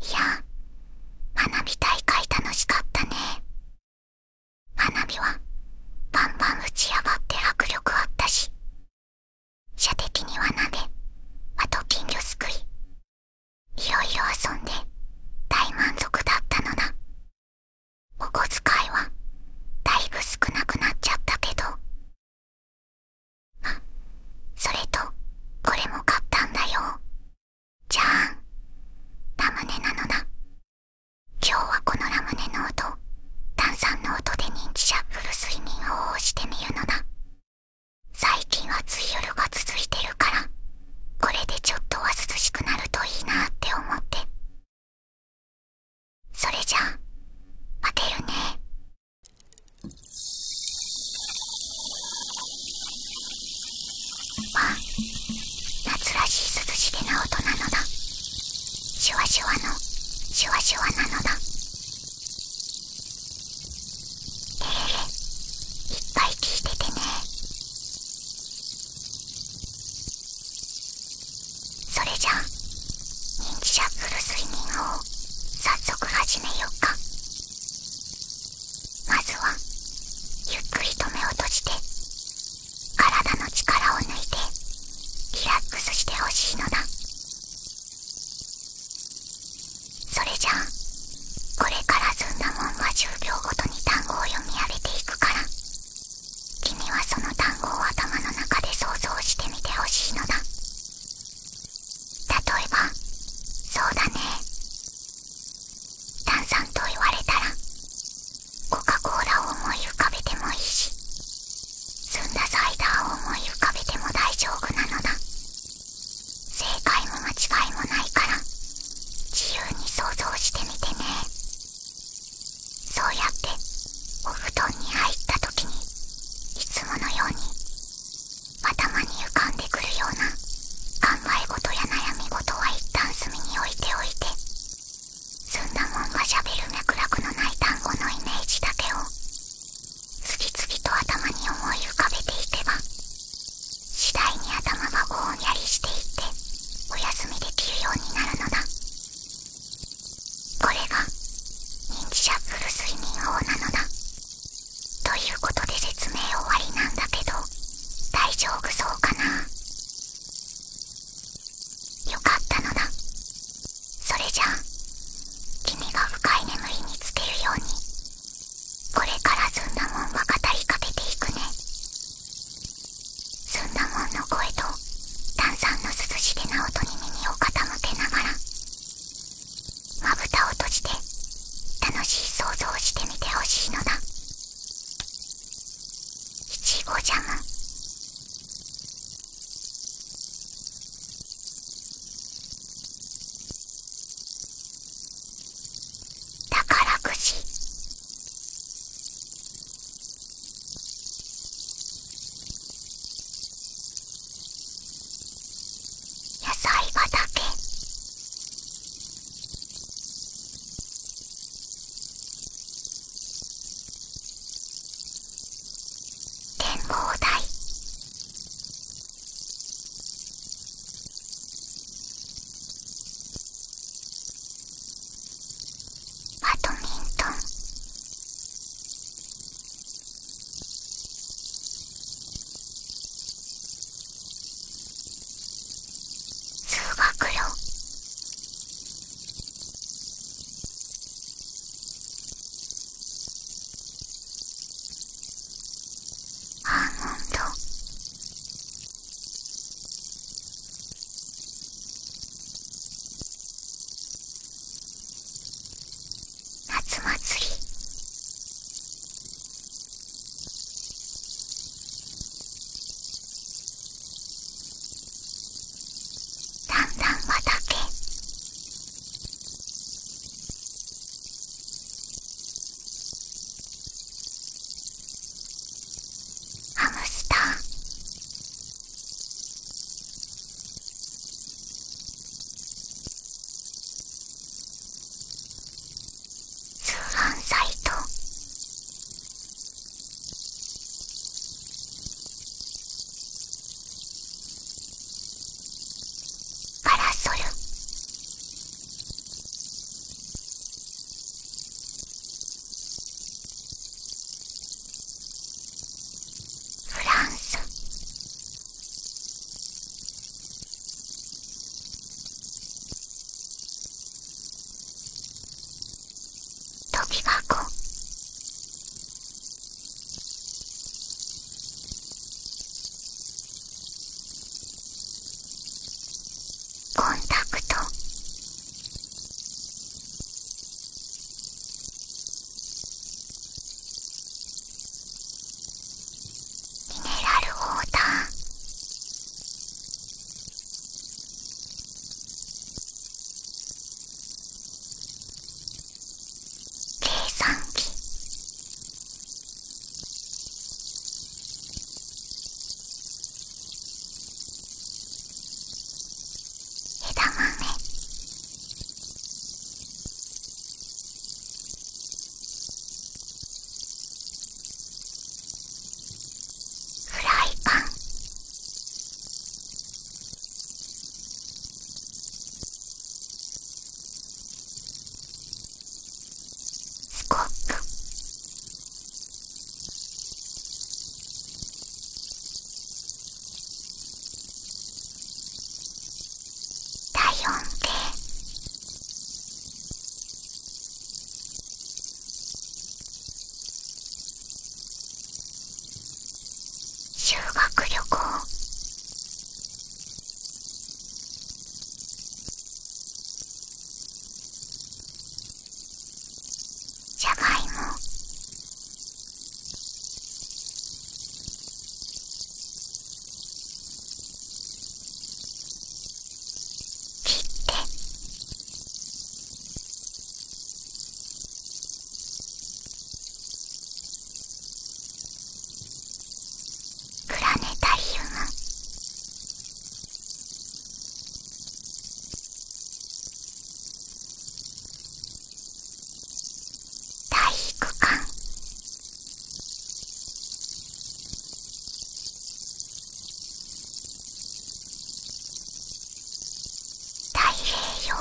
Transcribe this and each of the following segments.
いや花火大会楽しかったね花火はバンバン打ち上がって迫力あったし射的にはな。であと金魚すくいいろいろ遊んで大満足だったのだお小遣いはだいぶ少なくなっちゃったけどあそれとこれも買ったんだよじゃーんラムネなのだ今日はこのラムネの音炭酸の音で認知シャッフル睡眠法をしてみるのだ最近暑い夜が続いてるからこれでちょっとは涼しくなるといいなって思ってそれじゃあ待てるねあ夏らしい涼しげな音なのだシュワシュワのシュワシュワなのだえれれいっぱい聞いててねそれじゃあ認知者来る睡眠法を早速始めようかまずはゆっくりと目を閉じて体の力を抜いてリラックスしてほしいのだそれじゃあこれからずんだもんは10秒ごとに単語を読み上げていくから君はその単語を頭の中で想像してみてほしいのだ。例えばそうだね炭酸と言われたらコカ・コーラを思い浮かべてもいいし澄んだサイダーを思い浮かべても大丈夫なのだ正解も間違いもないから自由に想像してみてねそうやってお布団に入った時にいつものように頭に浮かんでくるような考え事や悩み事は一旦隅に置いておいてすんだもんがしゃべる脈絡のない単語のイメージだけを次々と頭に思い浮かべていけば次第に頭がぼんやりしていってお休みできるようになるのだこれが認知シャッフル睡眠法なのだということで説明終わりなんだけど大丈夫そうかなよかったのだそれじゃあ君が深い眠りにつけるようにこれからずんだもんは語りかけていくねずんだもんの声と炭酸の涼しげな音に耳を傾けながらまぶたを閉じて楽しい想像をしてみてほしいのだいちごジャム宝くじ野菜畑展望台バドミントン数学よアーモ夏祭りだんだん畑ハムスター通販サイトパラソルフランス飛び箱コンタクトミネラルウォーター計算機枝豆フライパンスコップ体温っ修学旅行じゃがいも。プラネタリウム体育館太平洋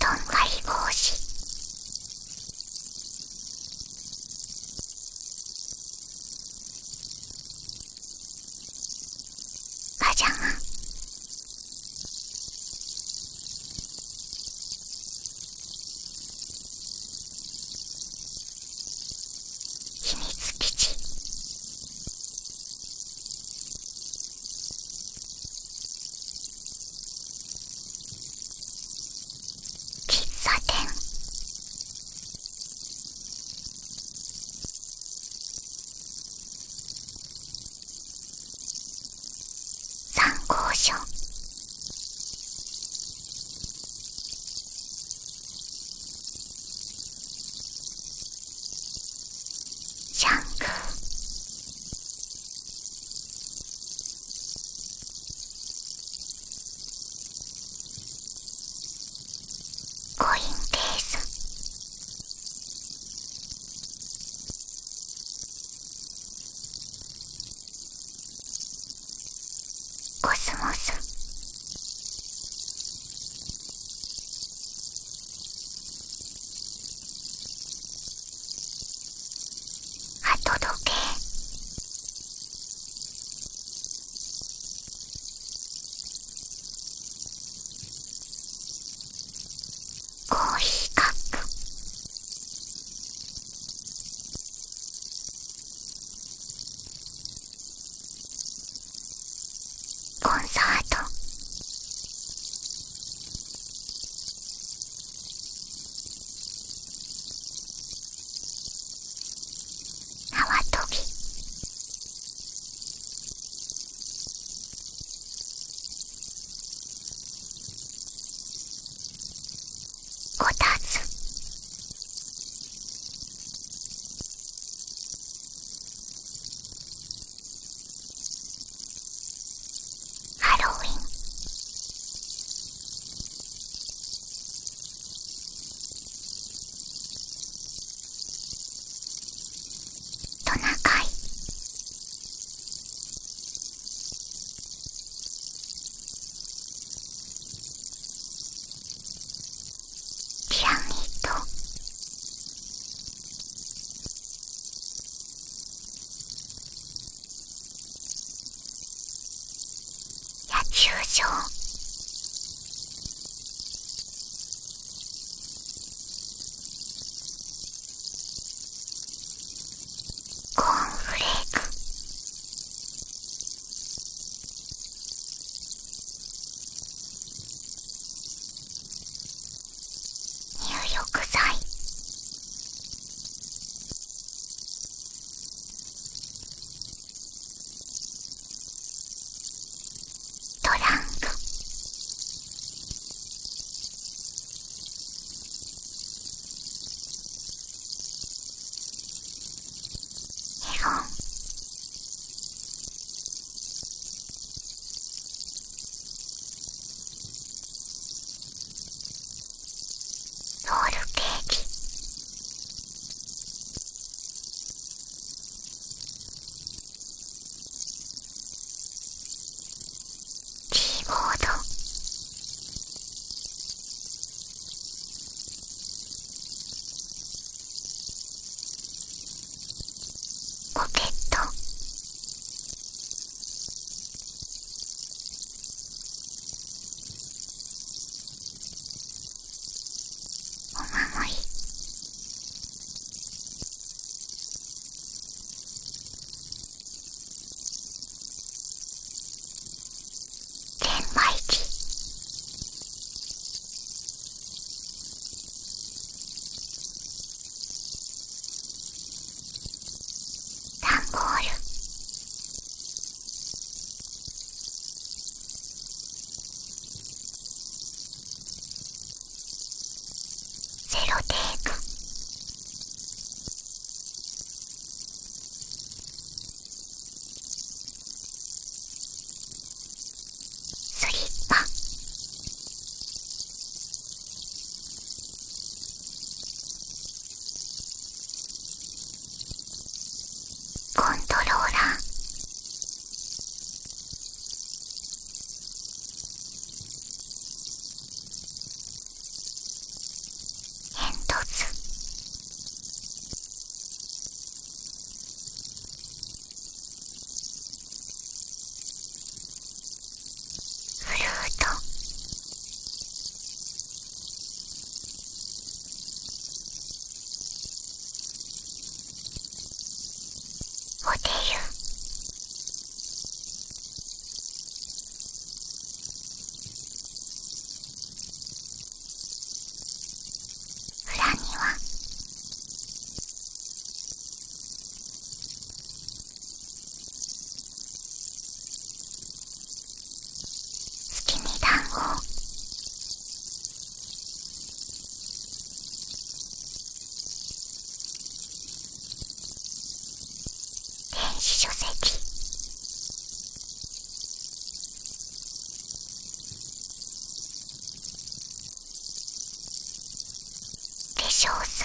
とんがり帽子あじゃん秘密基地喫茶店参考書シャンクーコインケースコスモスとどけコーヒーカップコンサート縄跳びこたつハロウィントナカイピラミッド野球場コーンフレーク入浴剤トランクエゴロールケーキキーボードポケットお守り天馬一ダンボールゼロテープスリッパコントローラー煙突フルートホテル裏には月に団子電子書籍化粧水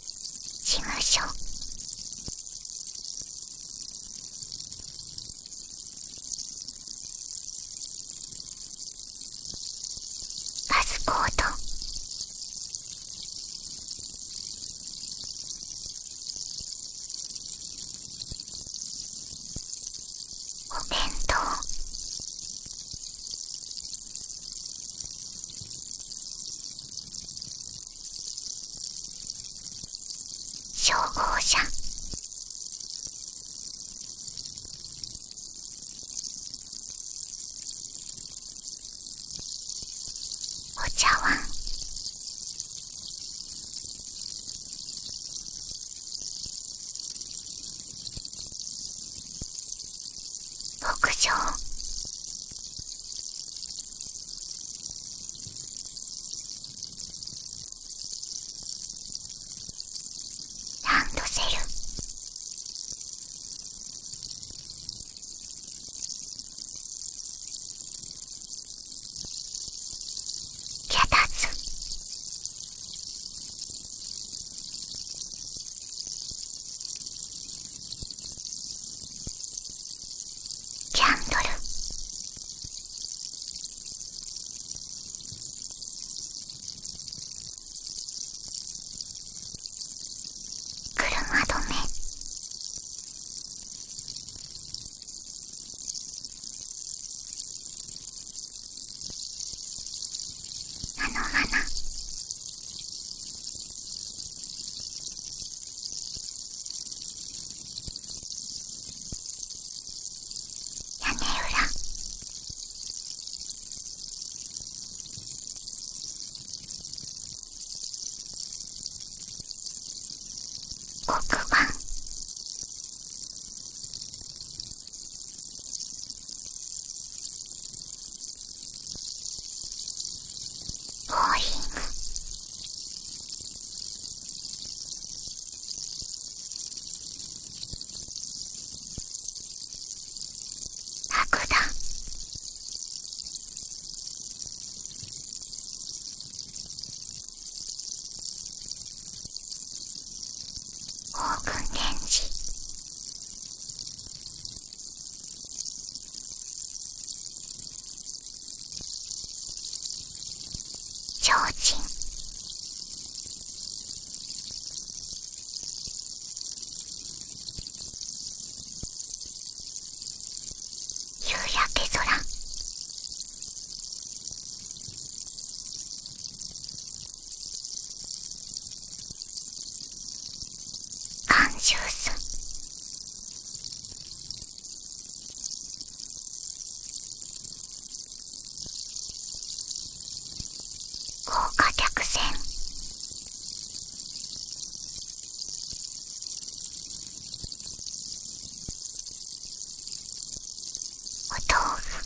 しましょうパスコートお弁当消防車お茶碗牧場ランドセルキャタキャンドル車止めあの花屋根裏黒板ボーリング爆弾オークンレンジ超人夕焼け空アンジュース高華客船お豆腐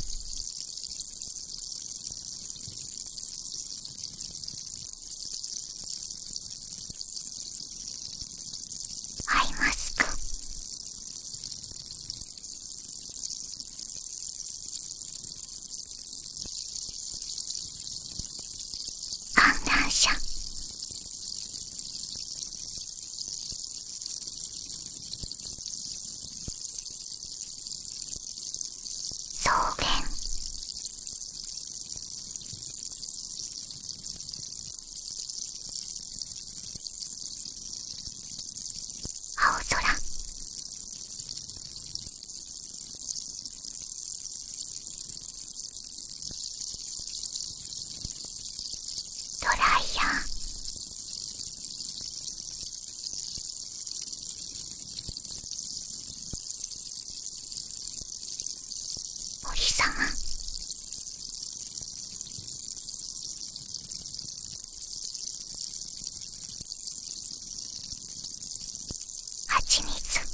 アイマスク観覧車草原青空ドライヤーお様《「ハチミツ」》《「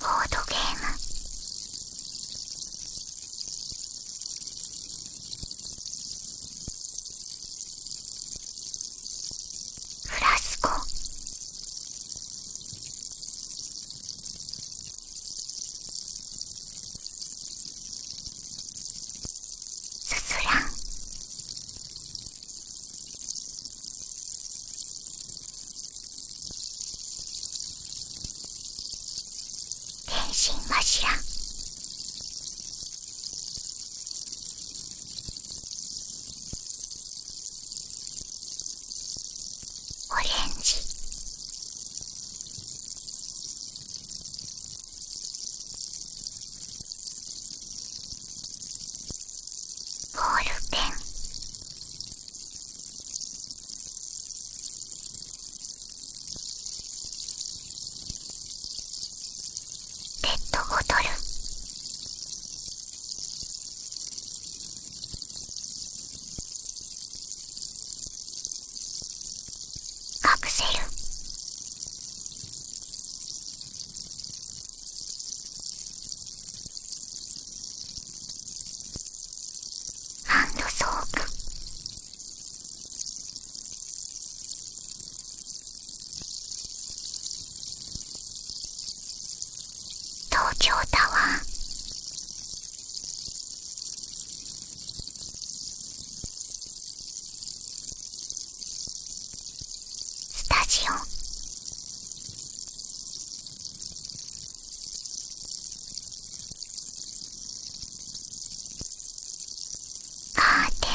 ボードゲームフラスコすすらん天心柱オレンジゴールペンペットボトルアクセルハンドソープ東京タワースタジオカーテン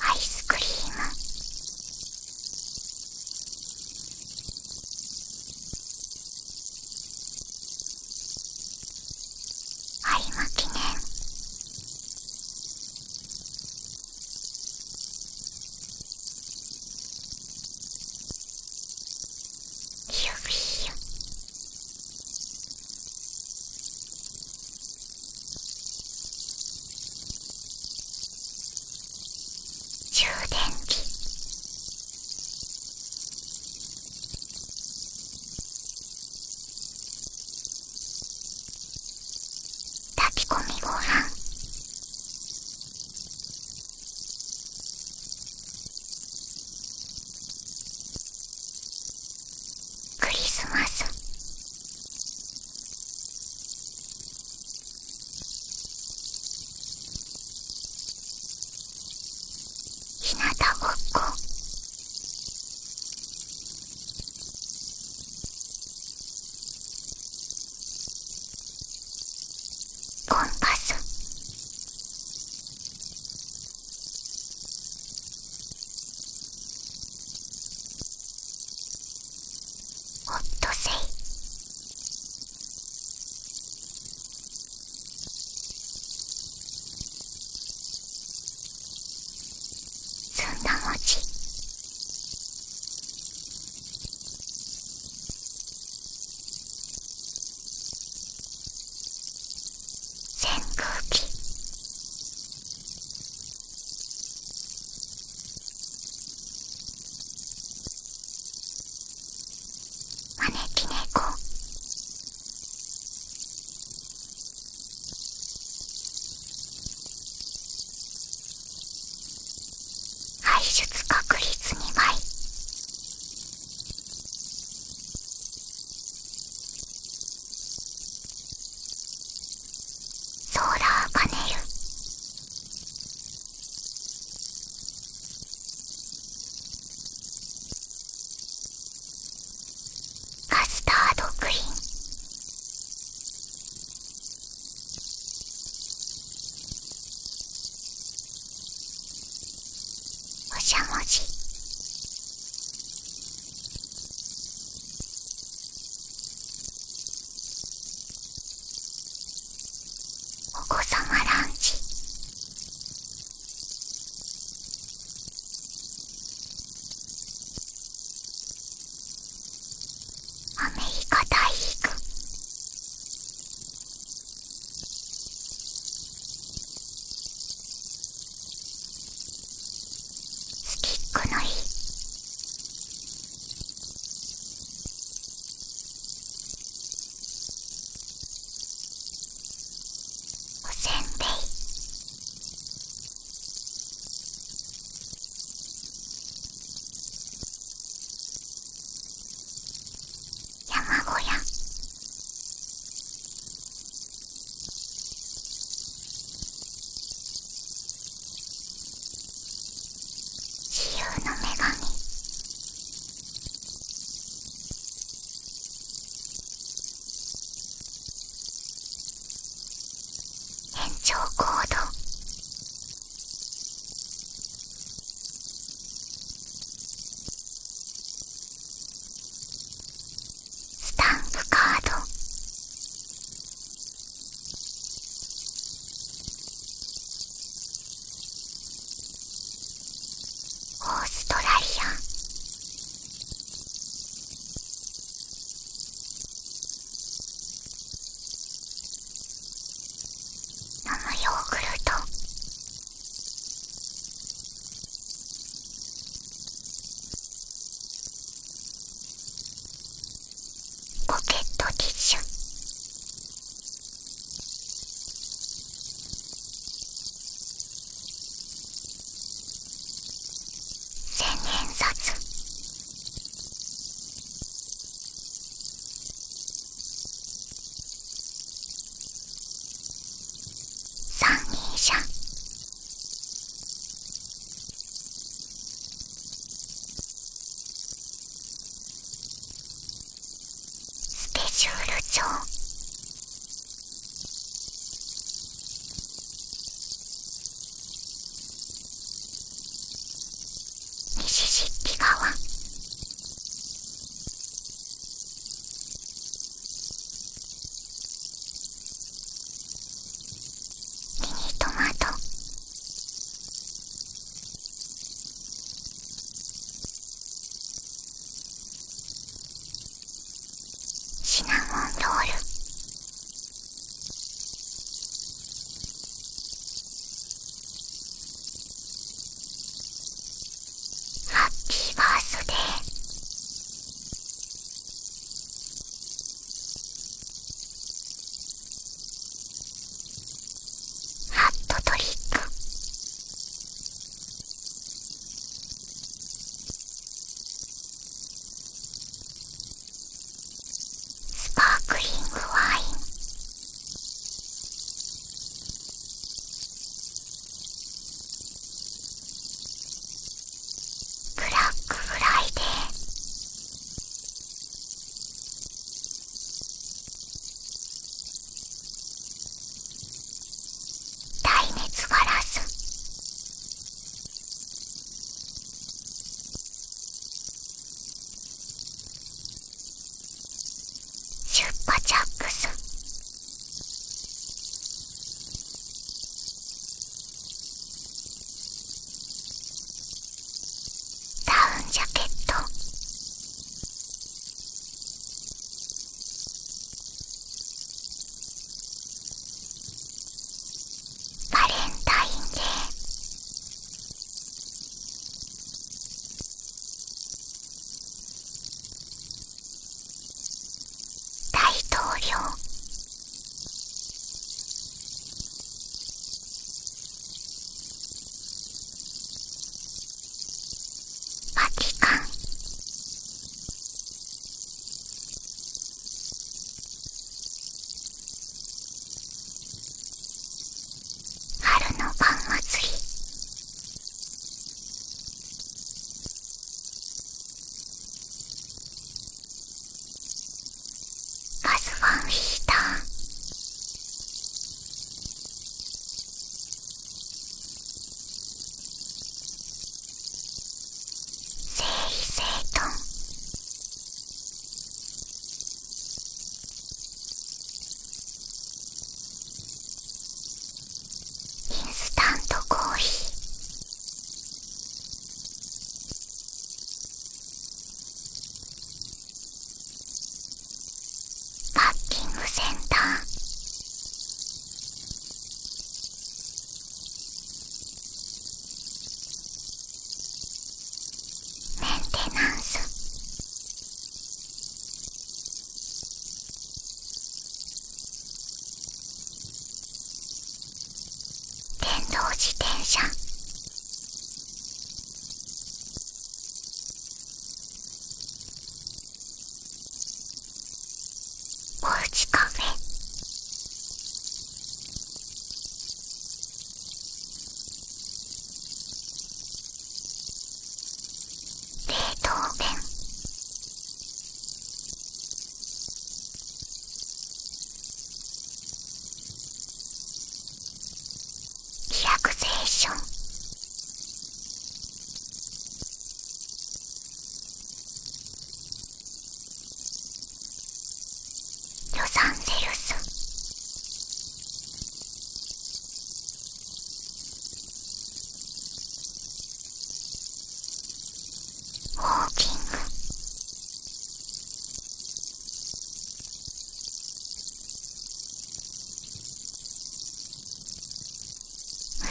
アイスクリーム有馬記念充電器充炊き込みご飯クリスマス日向ぼっこコンパスホットセイずんだ餅扇風機招き猫排出確率2倍ソーラーパネルカスタードクリーンおしゃもじ。お子様ランチアメリカ大陸スキックの日おせんべい山小屋自由の女神延長コードスタンプカードオーストラリア飲むヨーグルトポケットティッシュ千円札三人者スペシュール帳シシッピ川ミニトマトシナモンロールハッピーバースデーハットトリックスパークリングワインブラックフライデー耐熱ガラス出荷ジャックスダウンジャケットバレンタインデー大統領バチカン春のパン祭りガスフンヒーター整理整頓インスタントコーヒーパッティングセンターメンテナンス電動自転車おうちカフェートーベンリラクゼーションロサンゼルスウォーキングム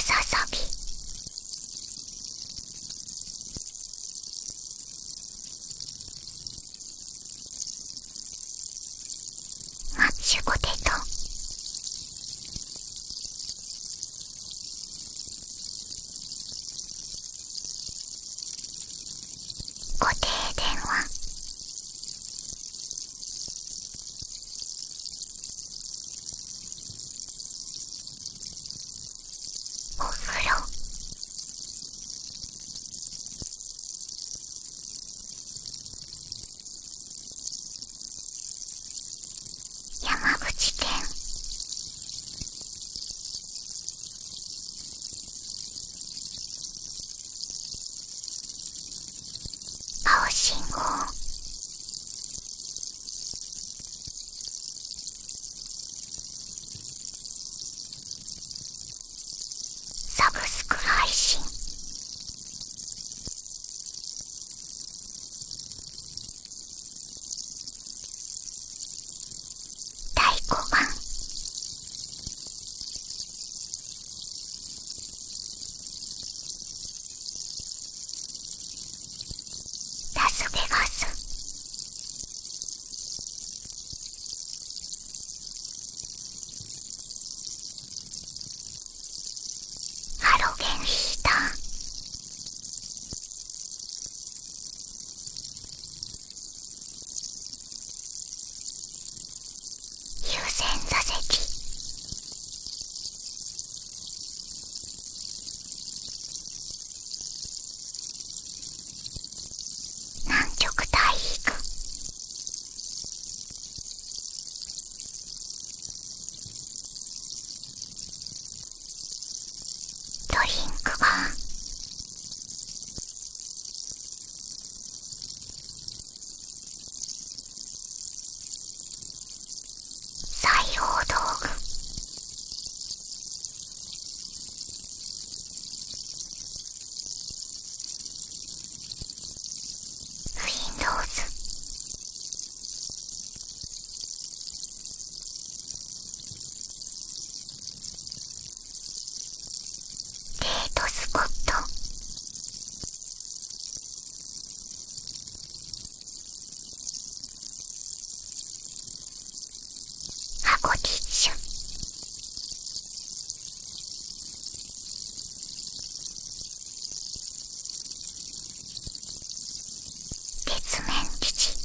ササビマッシュポテト固定電話お風呂山口県青信号サブスク配信第5番ラスベガスハロゲンした優先座席南極大陸ドリンクバー。採用道具 Windows「ートスポット」「箱ティッシュ」月面基地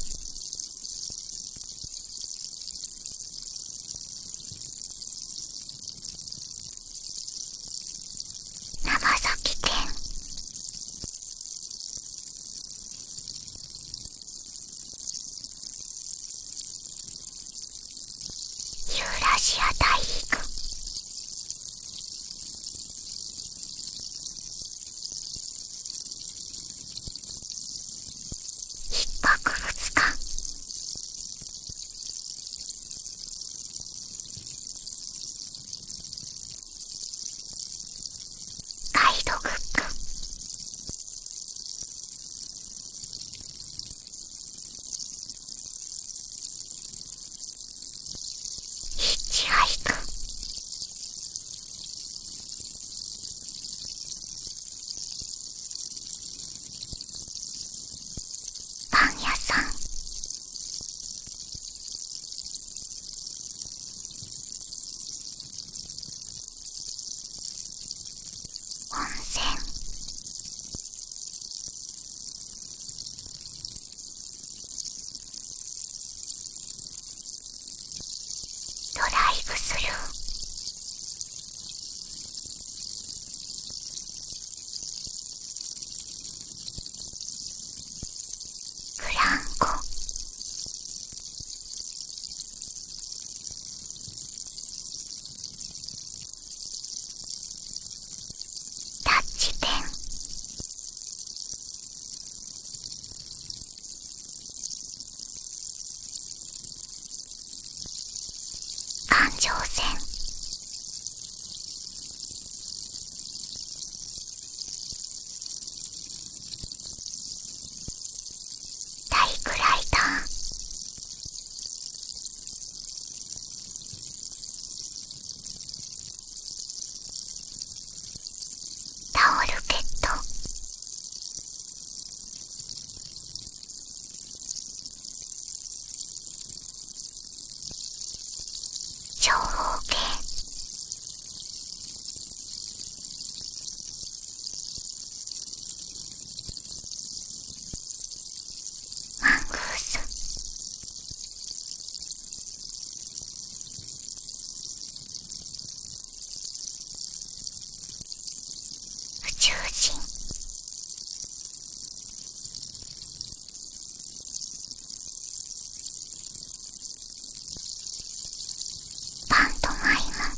長崎県ーラシア大陸一泊二日ガイドブック一愛くパン屋さん温泉ドライブスルーブランコタッチペン感情線体くらいだタオルケット長方形マングース。宇宙人パントマイム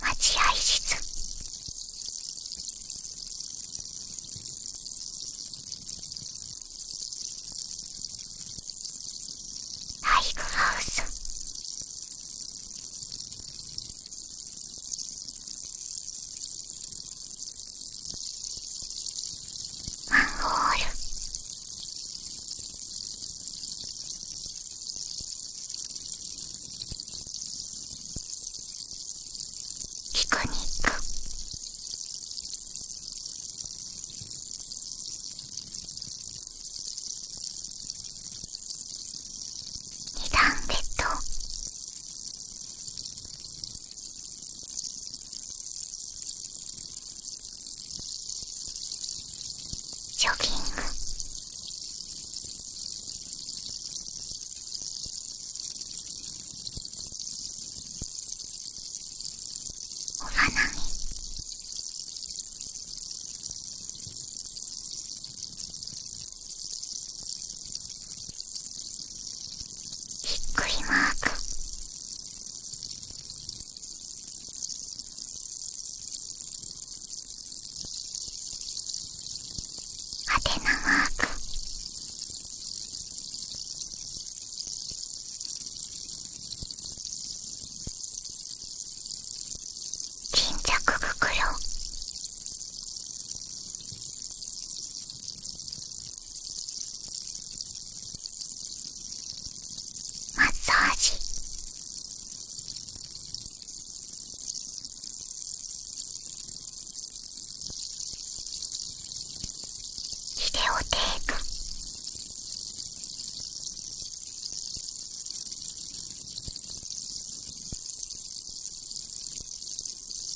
待合室体育ハウスマンホールピクニック二段ベッドジョギングお花見びっくりマークはてなマーク巾着袋マッサージビデオテープ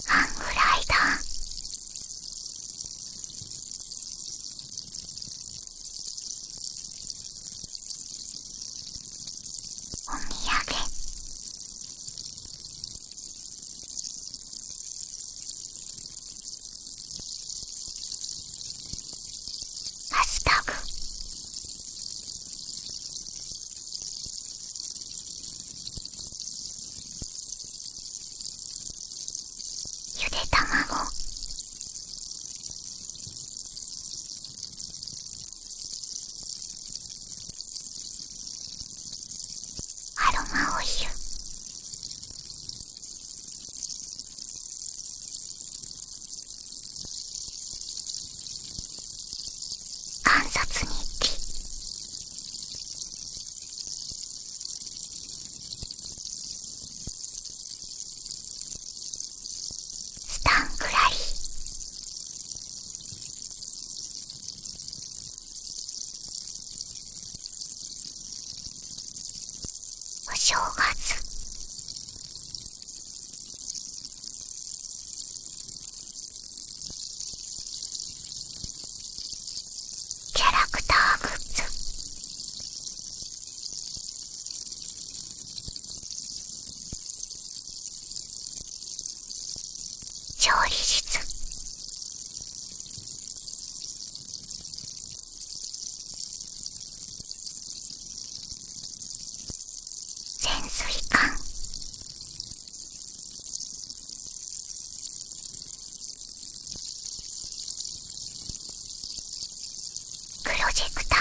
半ぐらいだお土産ハッタグゆで卵アロマオイル観察日記スタンクラリお正月キャラクターグッズ調理室潜水艦プロジェクター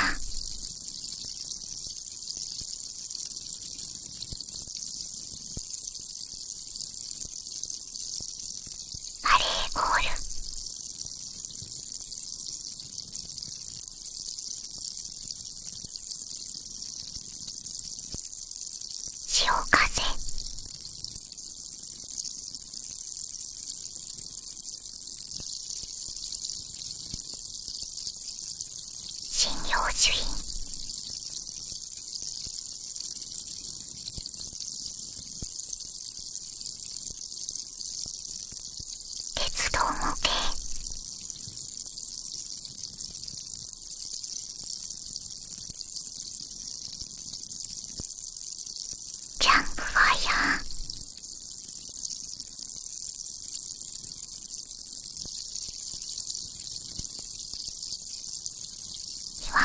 バレーゴール潮風信用主義鉄道模型キャンプファイヤー岩場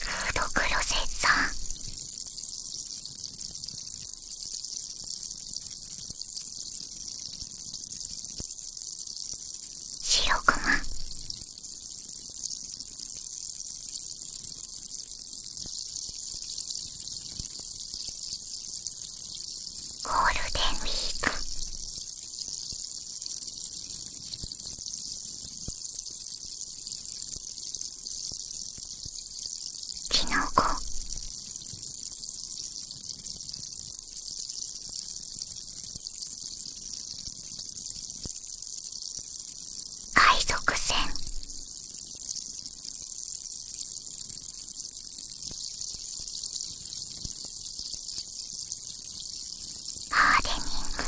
フードクロセッサー白熊ゴールデンウィークキノコ海賊船ハーデニング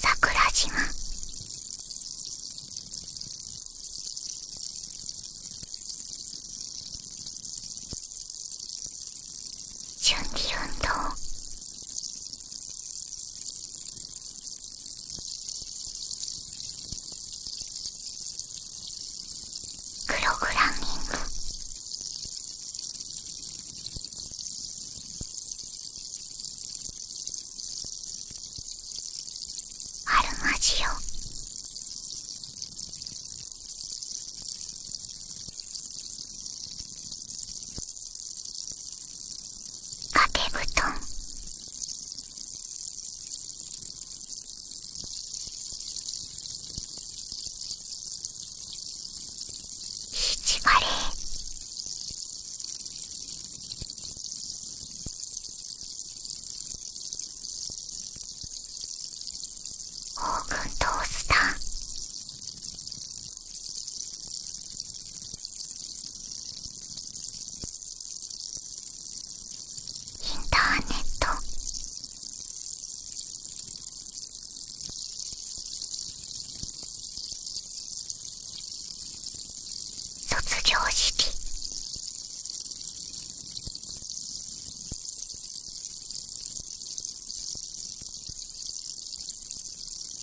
桜島準備運動プログラミングアルマジオ掛け布団チカレーオーブントースターインターネット卒業式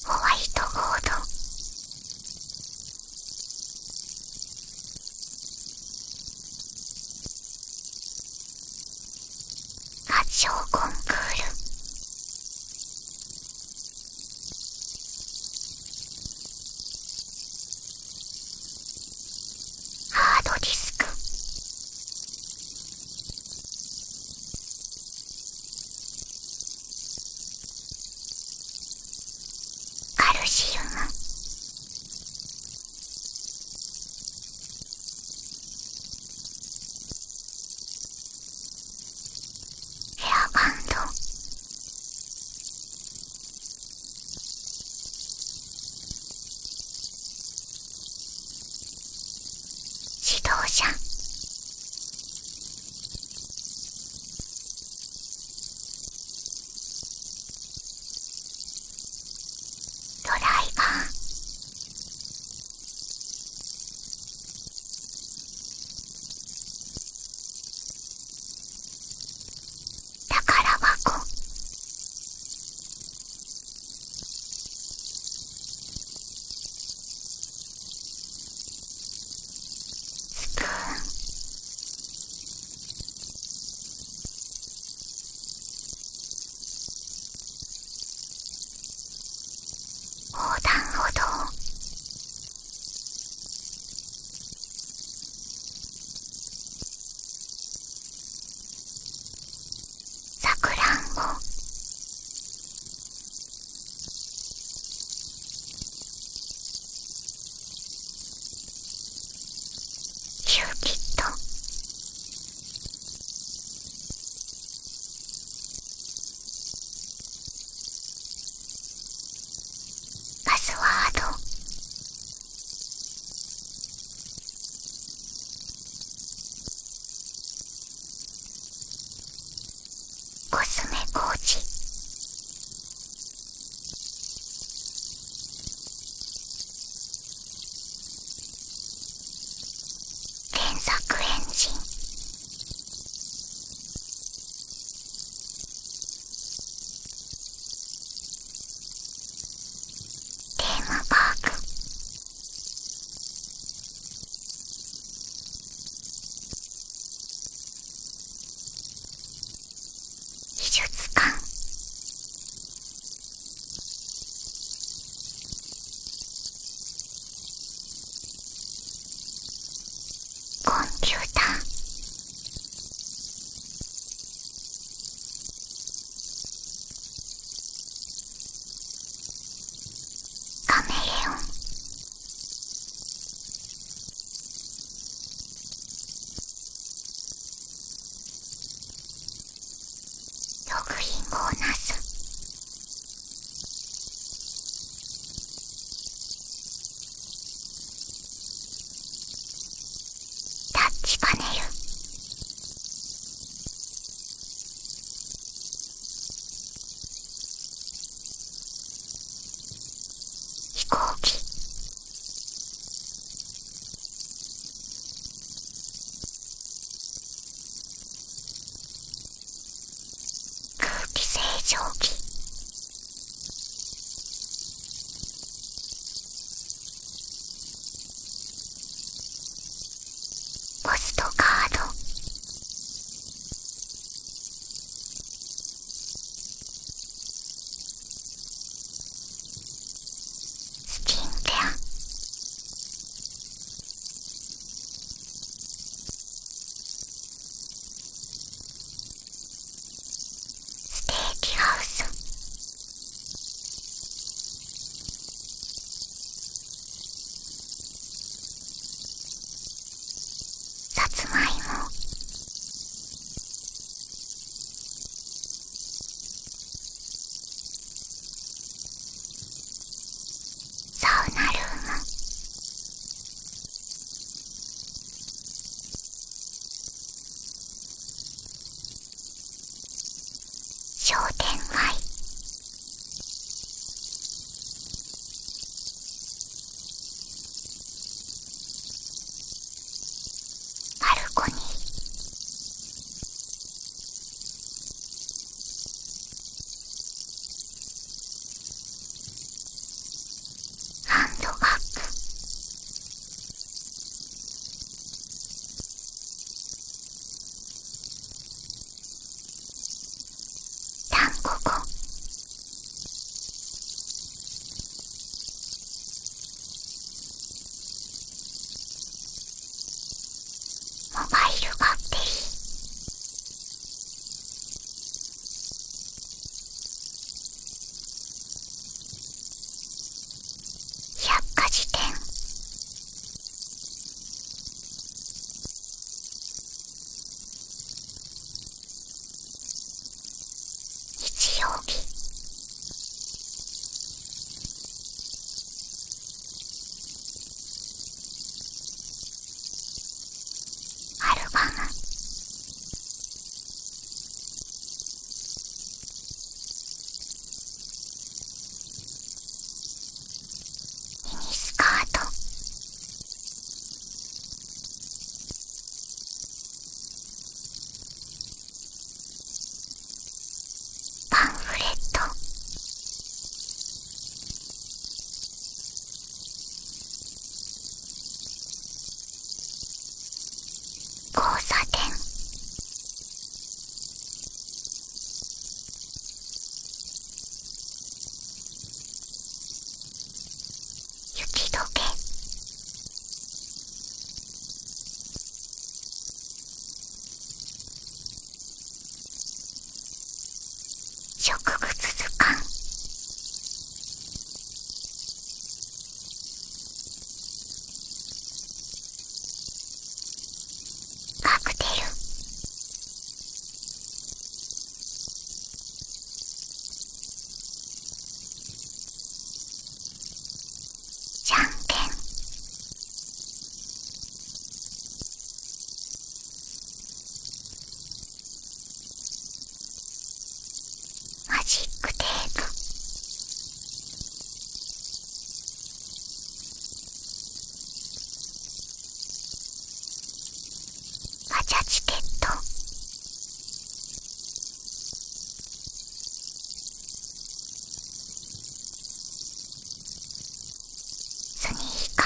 ホワイトボード発祥コンクールハードディスクカルシウムエアバンド自動車ドライバー宝箱スプーン横断歩道さくらんぼキューピッドパスワードコスメ工事検索エンジンテーマパーク美術館コンピューターカメレオン毒リンをなすタッチカネル飛行機空気清浄機ポストカードスキンケアステーキハウスさつまいもサウナルーム商店街バルコニーハンドバッグモバイルバッテリー百科事典日曜日アルバムミニスカートパンフレット交差点雪解け植物図鑑カクテルじゃんけんマジックテープガジャチケットスニーカーピ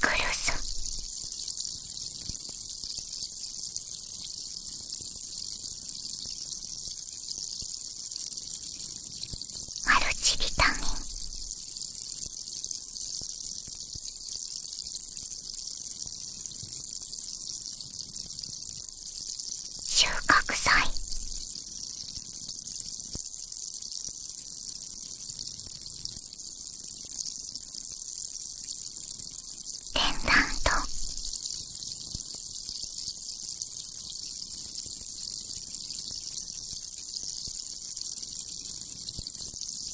クルスマルチビタミン収穫祭ペンダント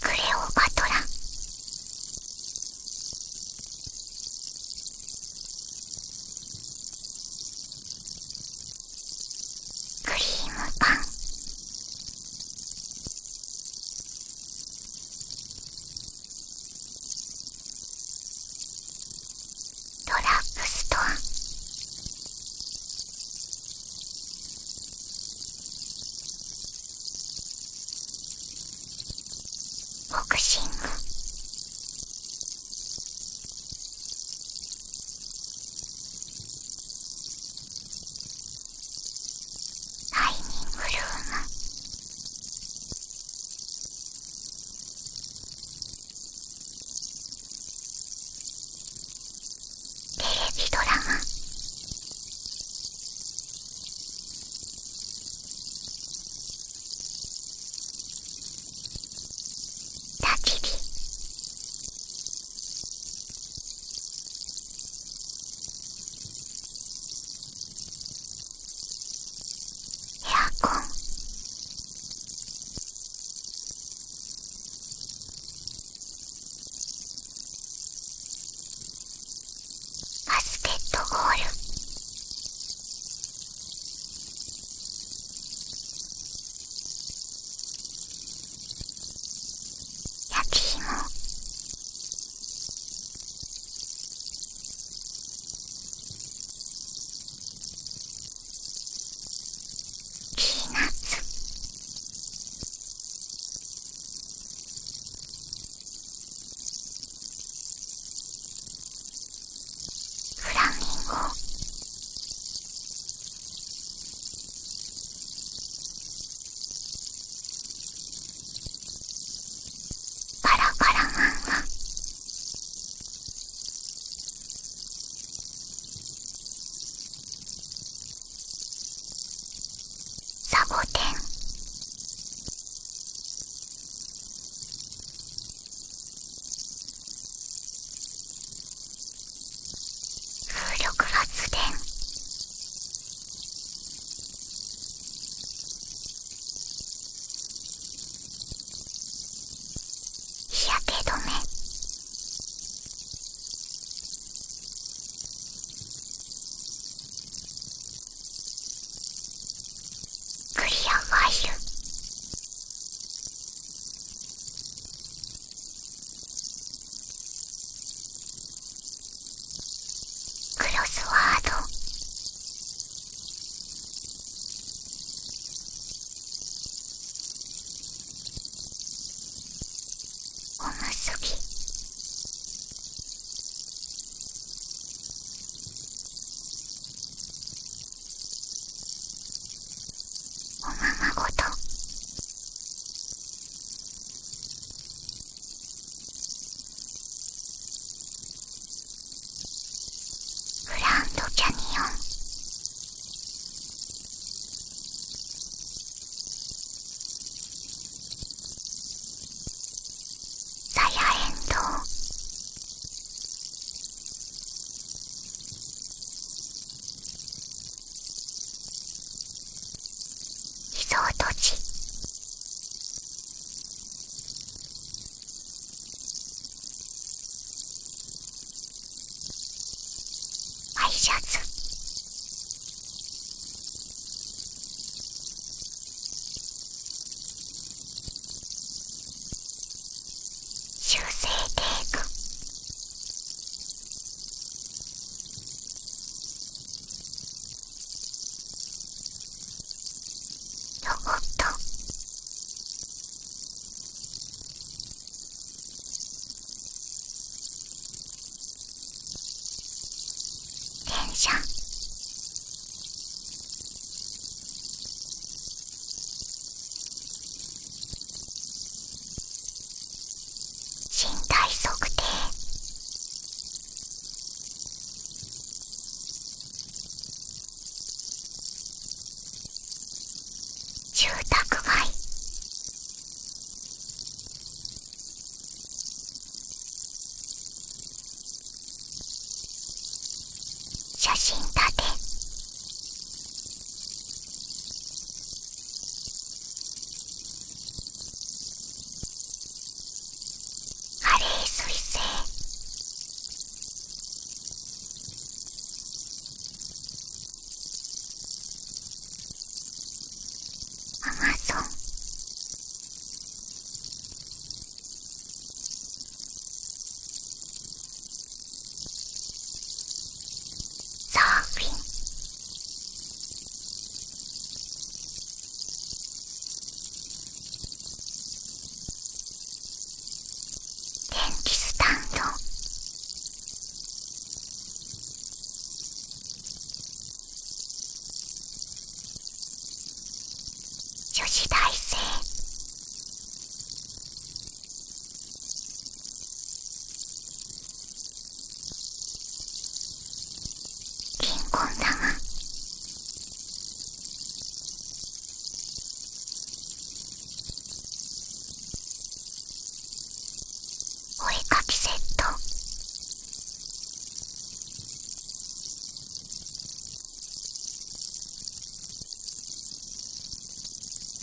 クレオパトラクリームパンドラッグストアボクシングダイニングルームおテレビドラマ焚き火エアコンバスケットボール焼き芋ーナッツフラミンゴパラカラマ漫画サボテン風力発電日焼け止めクリアファイルクロスワードおまごとグランドキャニオンサヤエンドリゾート地ワイシャツ修正テープロボット電車身体測定住宅街写真立てカレー彗星アマゾンサーフィン電気スタンド女子大生リンコン玉お絵かきセット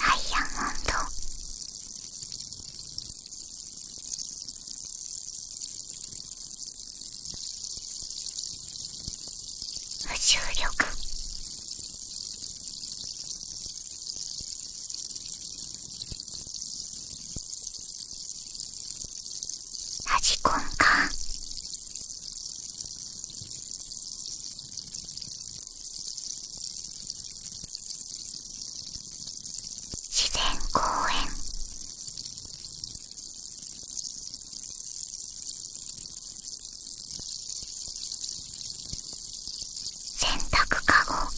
ダイヤモンド無重力ラジコンカか自然公園洗濯かご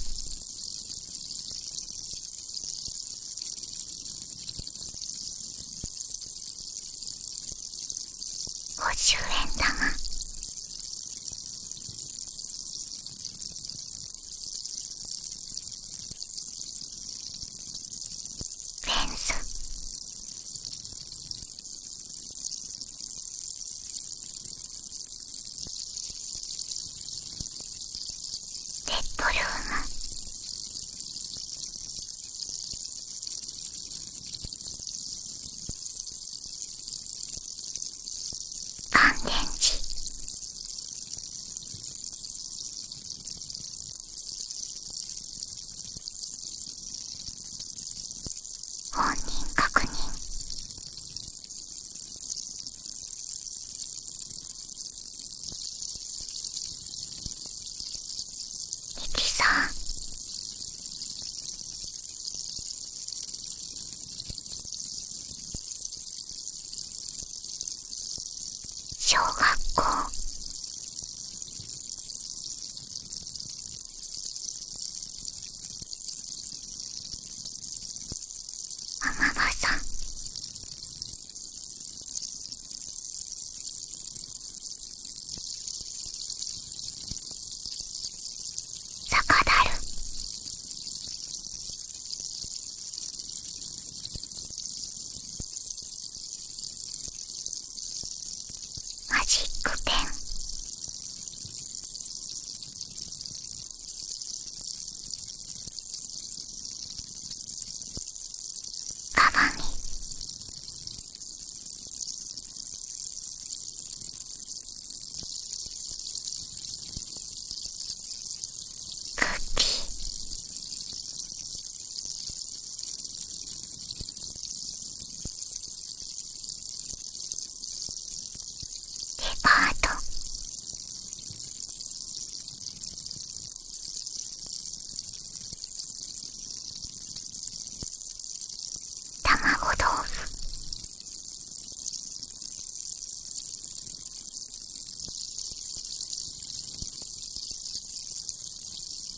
50円玉レンズッドルーム乾電池本人確認きさん小学校天野さん坂だるマジックペンカバンにクーデパート卵豆腐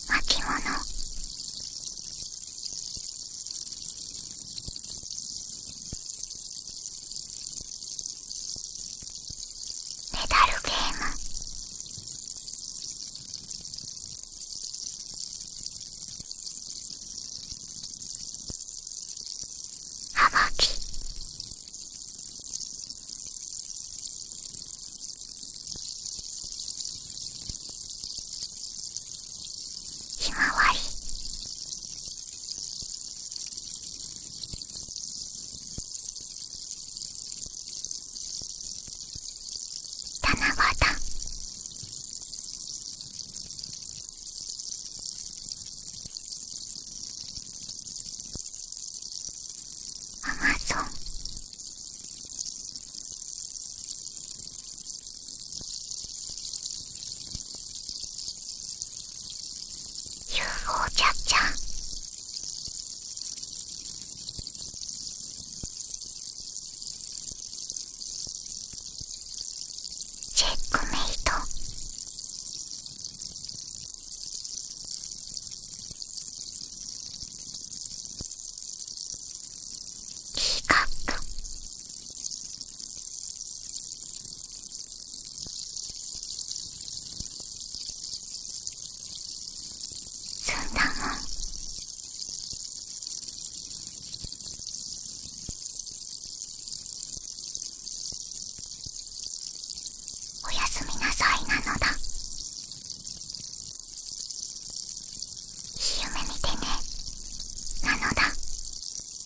巻物メダルゲームはがきひまわり七夕アマゾン UFO ちゃっちゃんチェックメイトティーカップすんだもんおやすみなさいなのだいい夢見てねなのだ